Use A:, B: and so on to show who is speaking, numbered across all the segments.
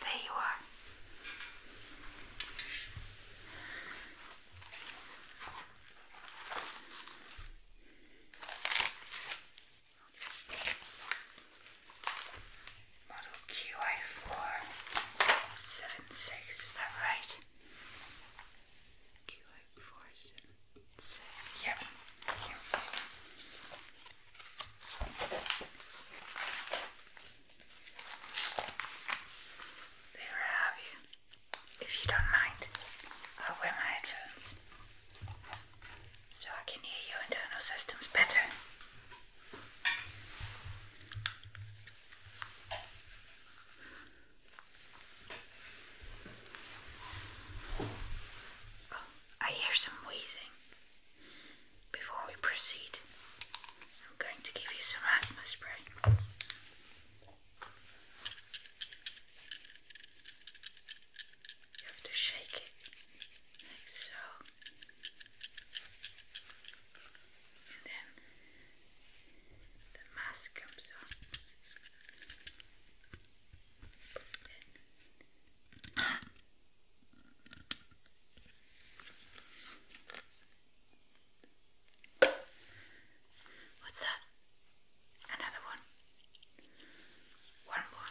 A: There you are. Model QI four seven six, is that right? yeah, There I have you. If you don't mind, I'll wear my headphones so I can hear your internal systems better. Oh, I hear some wheezing. Before we proceed, I'm going to give you some asthma spray. You have to shake it like so. And then the mask comes off. What's that? Another one. One more.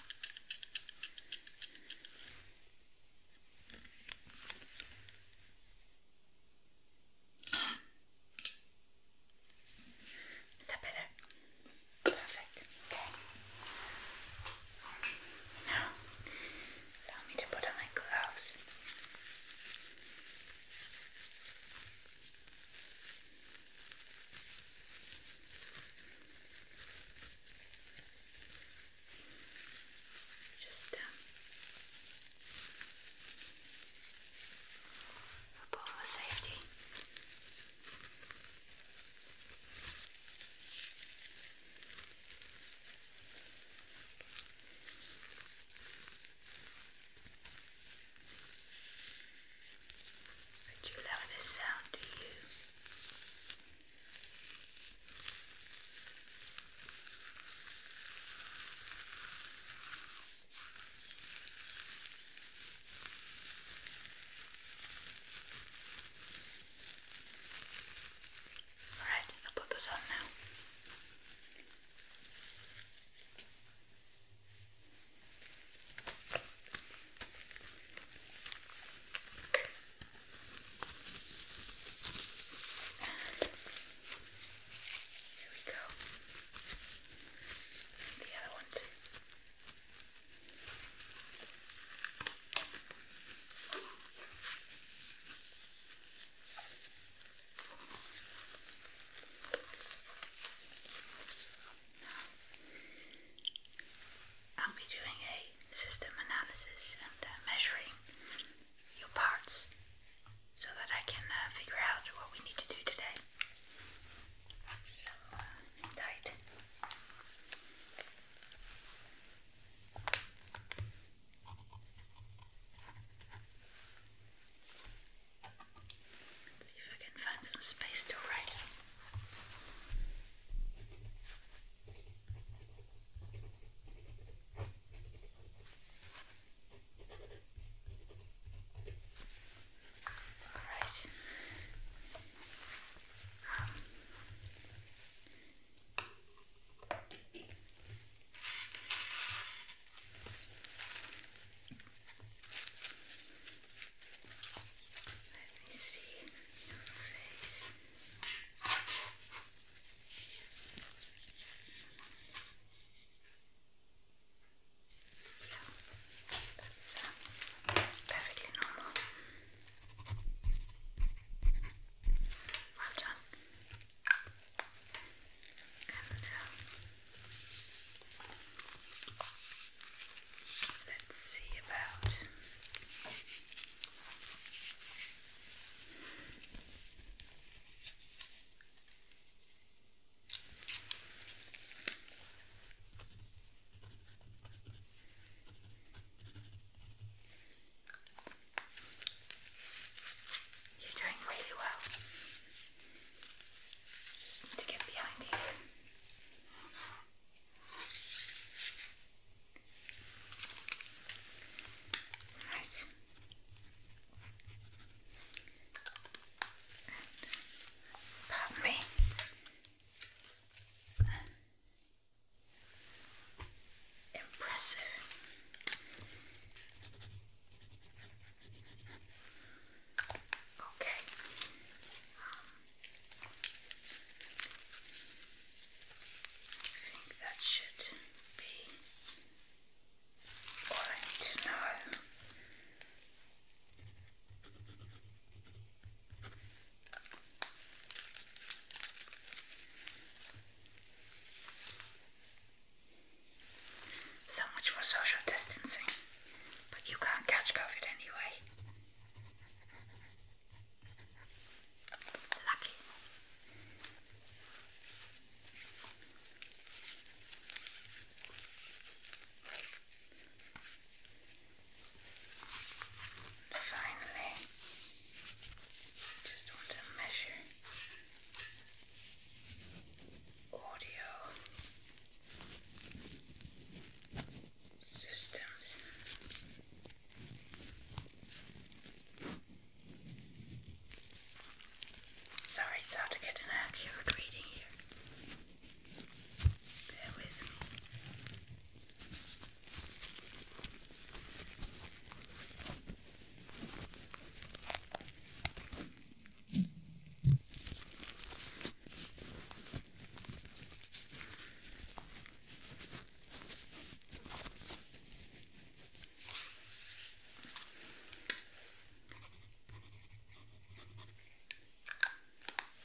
A: Is that better? Perfect. Okay. Now, allow me to put on my gloves. Just um, Above for safety. Would you love this sound to you? Alright, I'll put this on now. And here we go the other I'll be doing a system analysis and uh, measuring your parts so that I can uh, figure out what we need to do today. So, uh, tight. see if I can find some space to write. Alright. let me see your face. Yeah, that's uh, perfectly normal. Well done. Uh, let's see about. You're doing really well. Just need to get behind you. Right. Pardon me. Impressive. Okay. Um, I think that should be so much for social distancing, but you can't catch COVID anyway. Lucky. And finally, just want to measure audio systems. Sorry, it's hard to get an accurate reading here. Bear with me.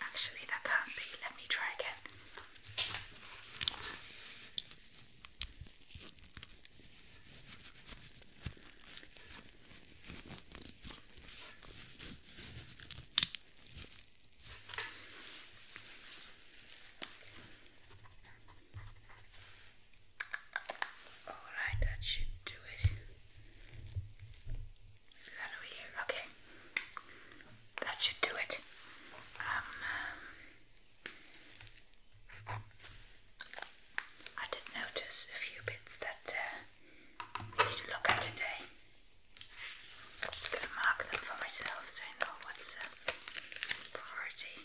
A: Actually, that can't be. Let me try again. Alright, that should do it. Is that over here? Okay. That should do it. Um, I did notice a few bits that uh, we need to look at today. I'm just going to mark them for myself so I know what's a uh, priority.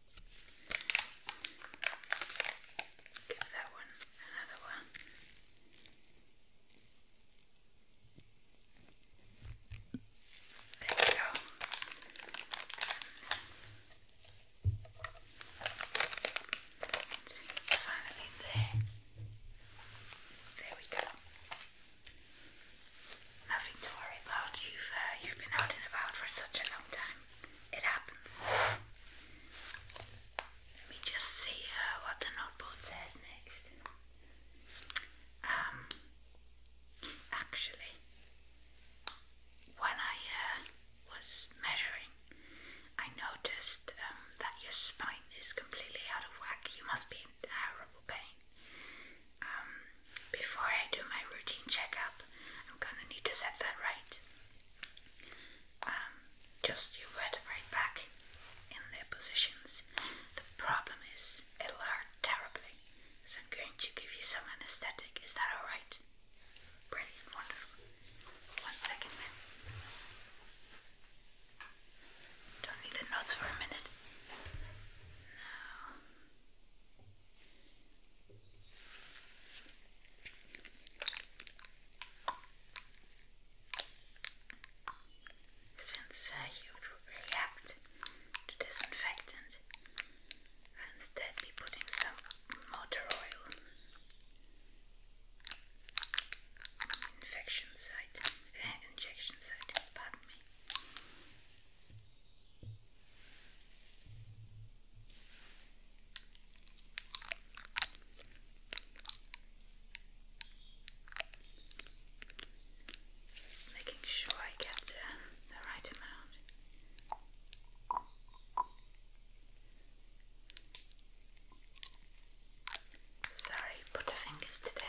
A: Give that one another one. There we go. finally there. There we go. Nothing to worry about. You've uh, you've been out and about for such a long time. It happens. Let me just see uh, what the notebook says next. Um, actually, when I uh, was measuring, I noticed um, that your spine is completely out of whack. You must be in terrible pain. Um, before I do my routine checkup, I'm gonna need to set that right. Um, just you vertebrae back in their positions. The problem is it'll hurt terribly, so I'm going to give you some anesthetic. Is that alright? Brilliant, wonderful. One second then. Don't need the notes for a minute. No. Since uh, you would react to disinfectant, I'll uh, instead be putting some motor oil infection site, uh, injection site, pardon me. Just making sure I get the, the right amount. Sorry, put fingers today.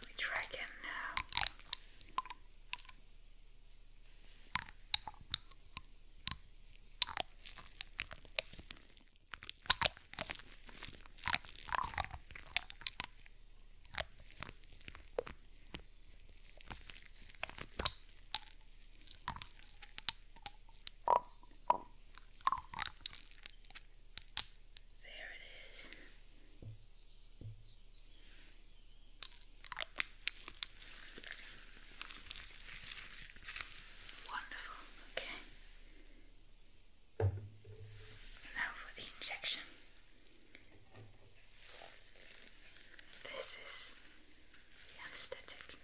A: Let me try again now. There it is. Wonderful. Okay. Now for the injection. This is anesthetic.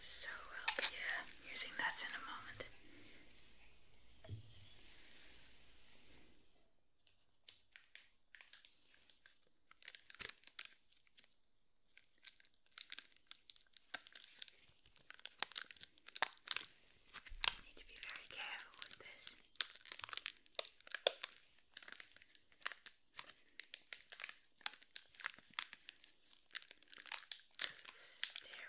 A: So I'll be uh, using that in a moment. Need to be very careful with this. Because it's sterile. There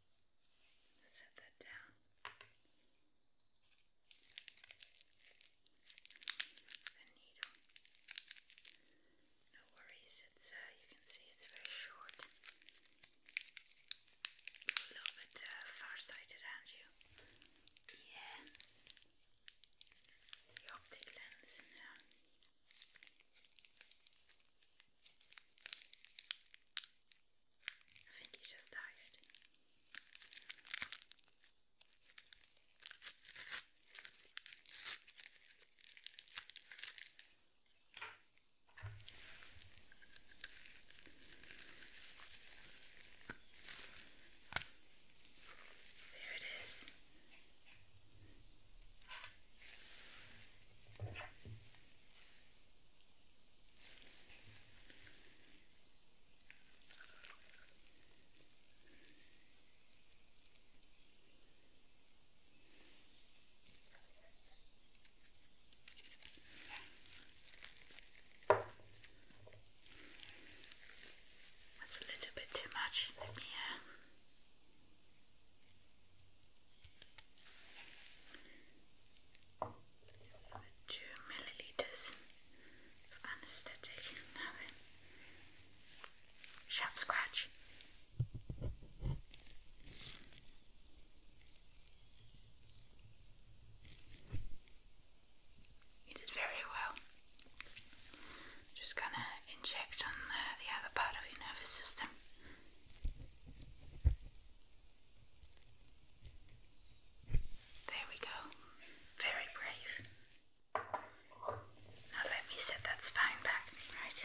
A: set that down. The needle. No worries, it's uh, you can see it's very short. a little bit uh, far-sighted, aren't you? Yeah. The optic lens I think he's just tired. There it is. That's a little bit too much. Let uh, 2 millilitres of anaesthetic. sharp scratch. You did very well. Just gonna inject on the other part of your nervous system. There we go. Very brave. Now let me set that spine back, right?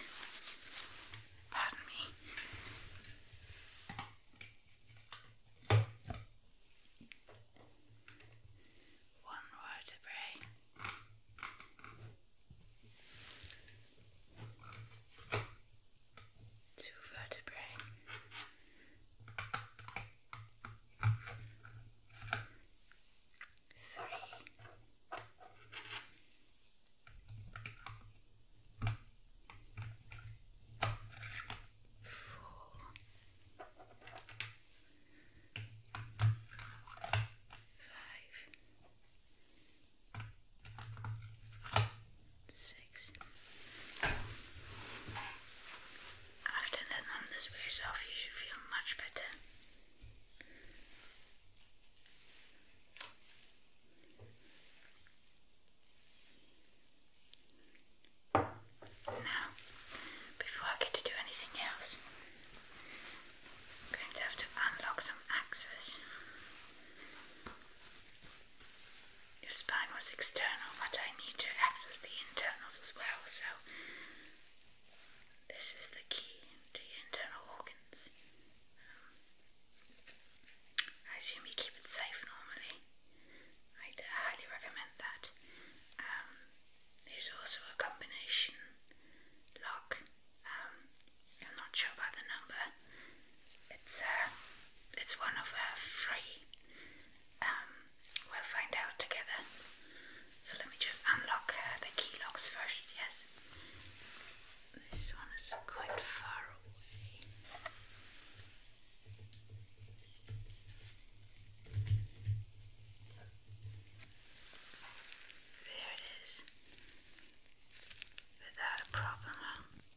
A: Pardon me. One vertebrae two vertebrae. Three. Four. Five six. After the numbness wears off, you should feel much better. Now, before I get to do anything else, I'm going to have to unlock some access. Your spine was external, but I need to access the internals as well, so this is the key to your internal organs. Um, I assume you keep it safe normally. i uh, highly recommend that. Um, there's also a combination lock um, I'm not sure about the number. It's uh, it's one of uh, three. Um, we'll find out together. So let me just unlock uh, the key locks first. Yes. This one is quite far away. There it is. Without a problem. Huh?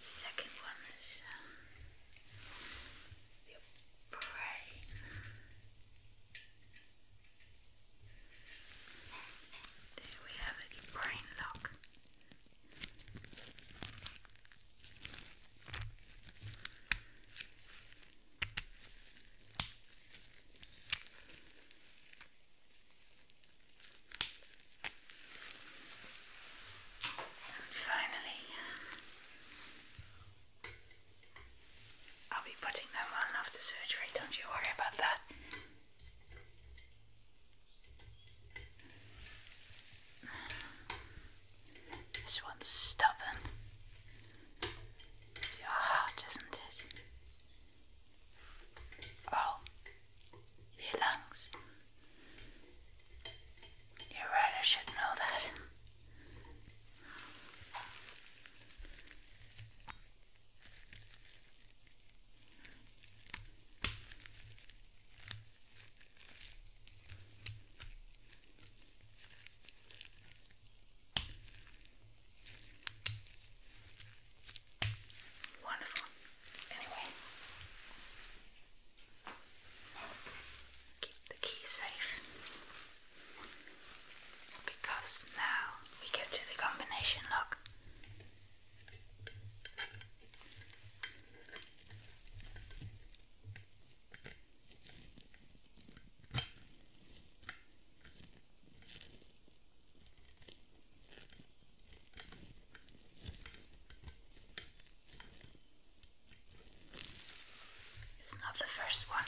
A: Second one is um, brain. we have it, brain lock. finally, I'll be putting that on after surgery, don't you worry about that. This one's stubborn. It's your heart, isn't it? Oh, your lungs. You're right, I should know that. Wonderful. Anyway, Keep the key safe because now we go to the combination lock. It's not the first one.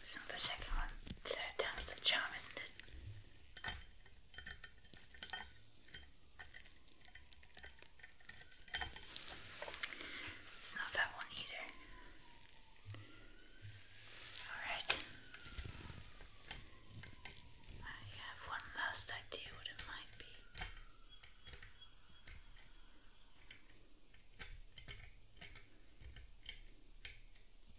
A: It's not the second one. Third time's the charm, isn't it? It's not that one either. Alright. I have one last idea what it might be.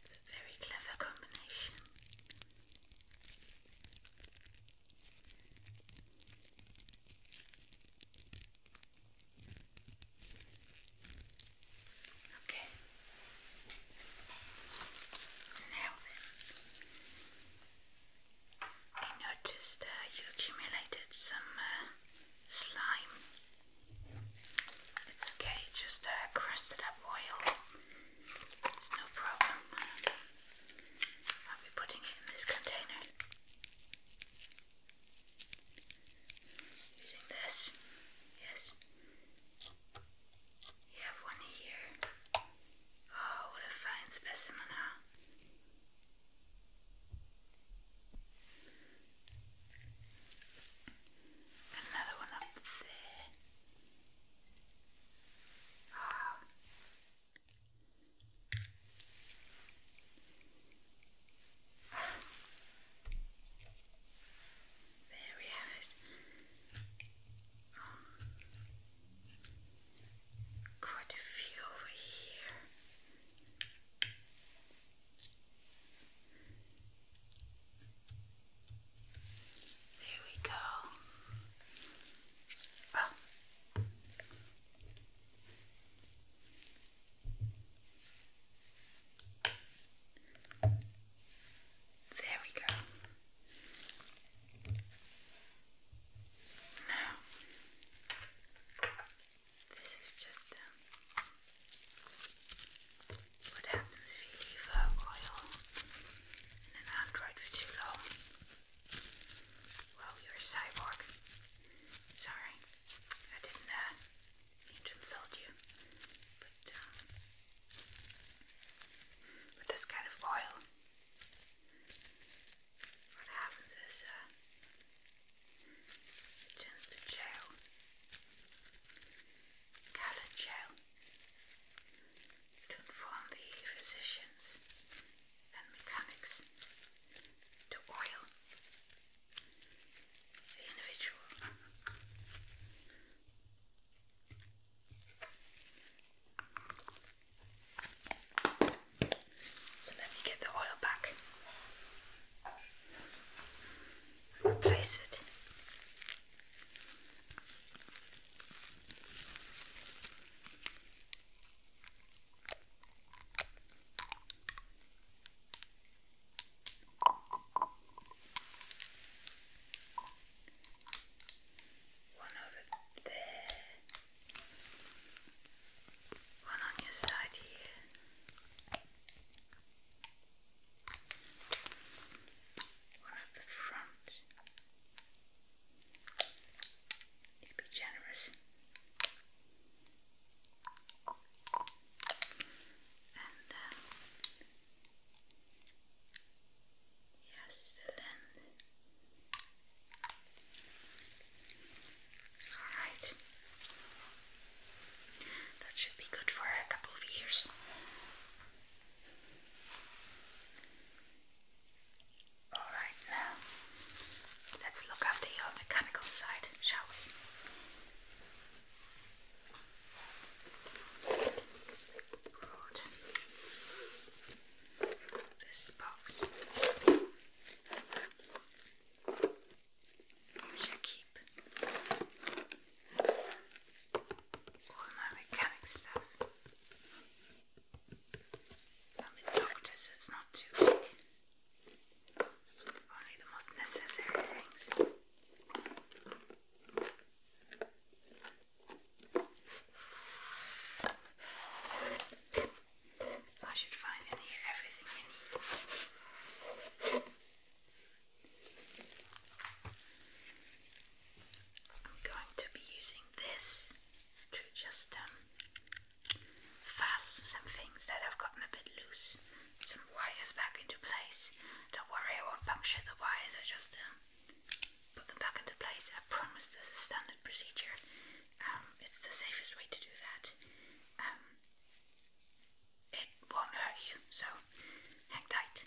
A: It's a very clever combination. Okay. Now I noticed uh, you accumulated some uh, slime. It's okay, just uh, crusted up oil. There's no problem. I'll be putting it in this container. Using this, yes. You have one here. Oh, what a fine specimen, huh? Another one up there. There we have it. Quite a few over here. There we go. Oh. there we go. Now, this is just um, what happens if you leave oil in an android for too long. Well, you're a cyborg. Sorry, I didn't uh, mean to insult you. but um, this kind of oil what happens is uh, it turns to gel, coloured gel, to inform the physicians and mechanics to oil the individual. So let me get the oil back and it. One over there. One on your side here. One at the front. be generous. And um, yes, the length Alright. That should be good for a couple of years. Alright, now let's look after your uh, mechanical side, shall we? This box. Here's your keep. All my mechanic stuff. I'm a doctor, so it's not too big. Only the most necessary things. I should find in here everything I need. I'm going to be using this to just um, fasten some things that have gotten a bit loose, some wires back into place. Don't worry, I won't puncture the wires, I just uh, put them back into place. I promise this is standard procedure. Um, it's the safest way to do that. Um, it won't hurt you, so hang tight.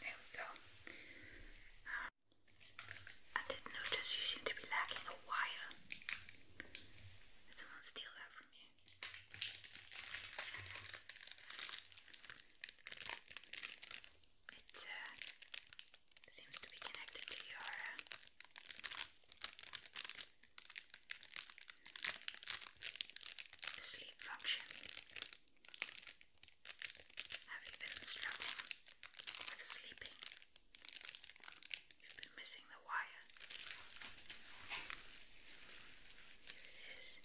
A: There we go. Um, I did notice you seem to be lacking a wire. Did someone steal that from you? It uh, seems to be connected to your uh, sleep function. Have you been struggling with sleeping? You've been missing the wire. Here it is.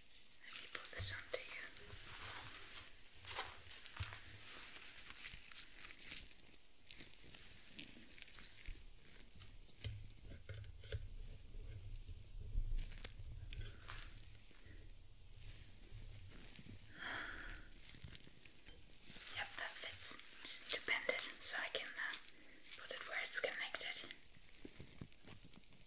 A: Let me put this onto you. Yep, that fits. Just need to bend it so I can uh, put it where it's connected.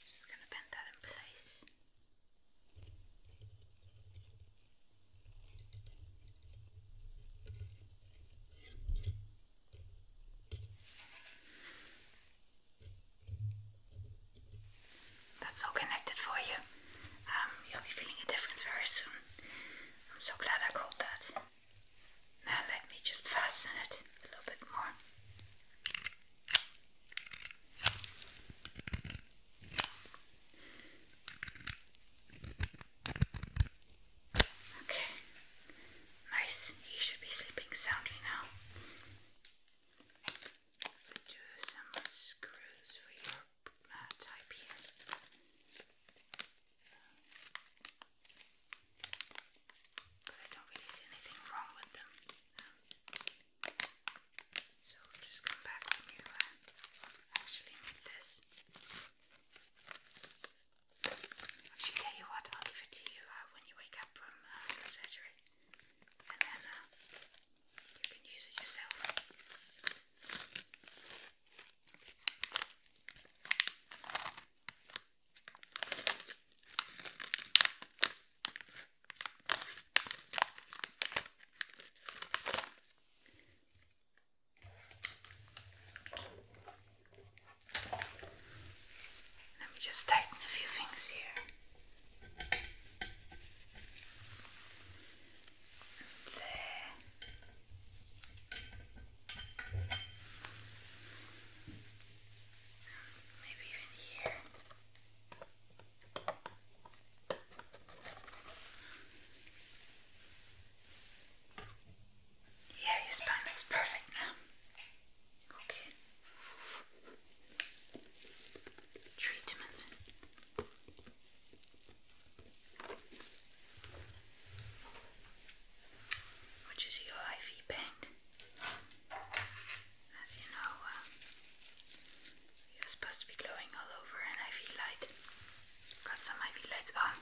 A: Just going to bend that in place. That's all connected for you. Um, you'll be feeling a difference very soon. I'm so glad I caught that. Now let me just fasten it a little bit more. Okay, nice. He should be sleeping soundly now uh, But I don't really see anything wrong with them. So just come back when you uh, actually need this. Actually, tell you what, I'll give it to you uh, when you wake up from uh, surgery. And then you can use it yourself. Let me just tighten a few things here there. Maybe even here. Yeah, your spine looks perfect now. Okay. Treatment which is your IV paint. As you know, uh, you're supposed to be glowing all over an IV light. i got some IV lights on,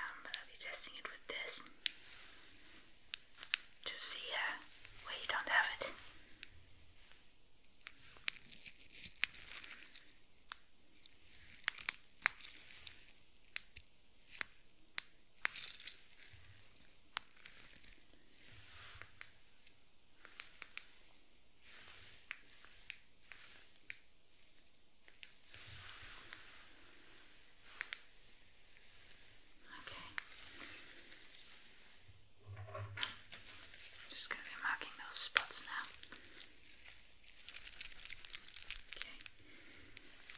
A: um, I'll be testing it with this. Just see uh, where you don't have it. Okay. Just going to be marking those spots now. Okay,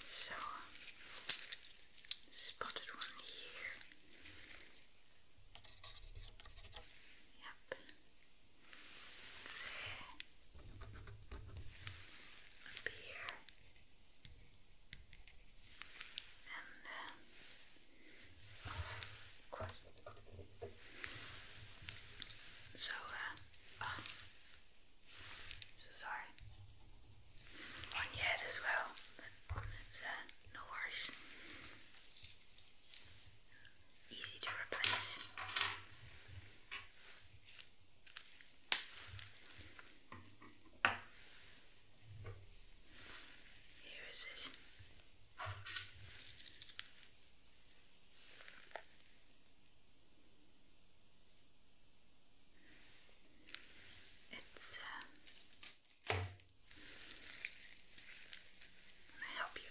A: so spotted one here. Yep. Up here. And um, so, uh, oh, so sorry. On your head as well, uh, no worries. Easy to replace. Here is it. It's. Uh, I help you?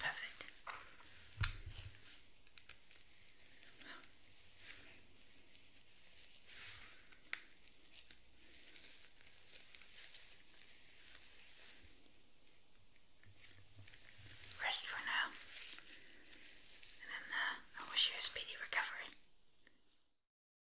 A: Perfect. Rest for now, and uh, I wish you a speedy recovery.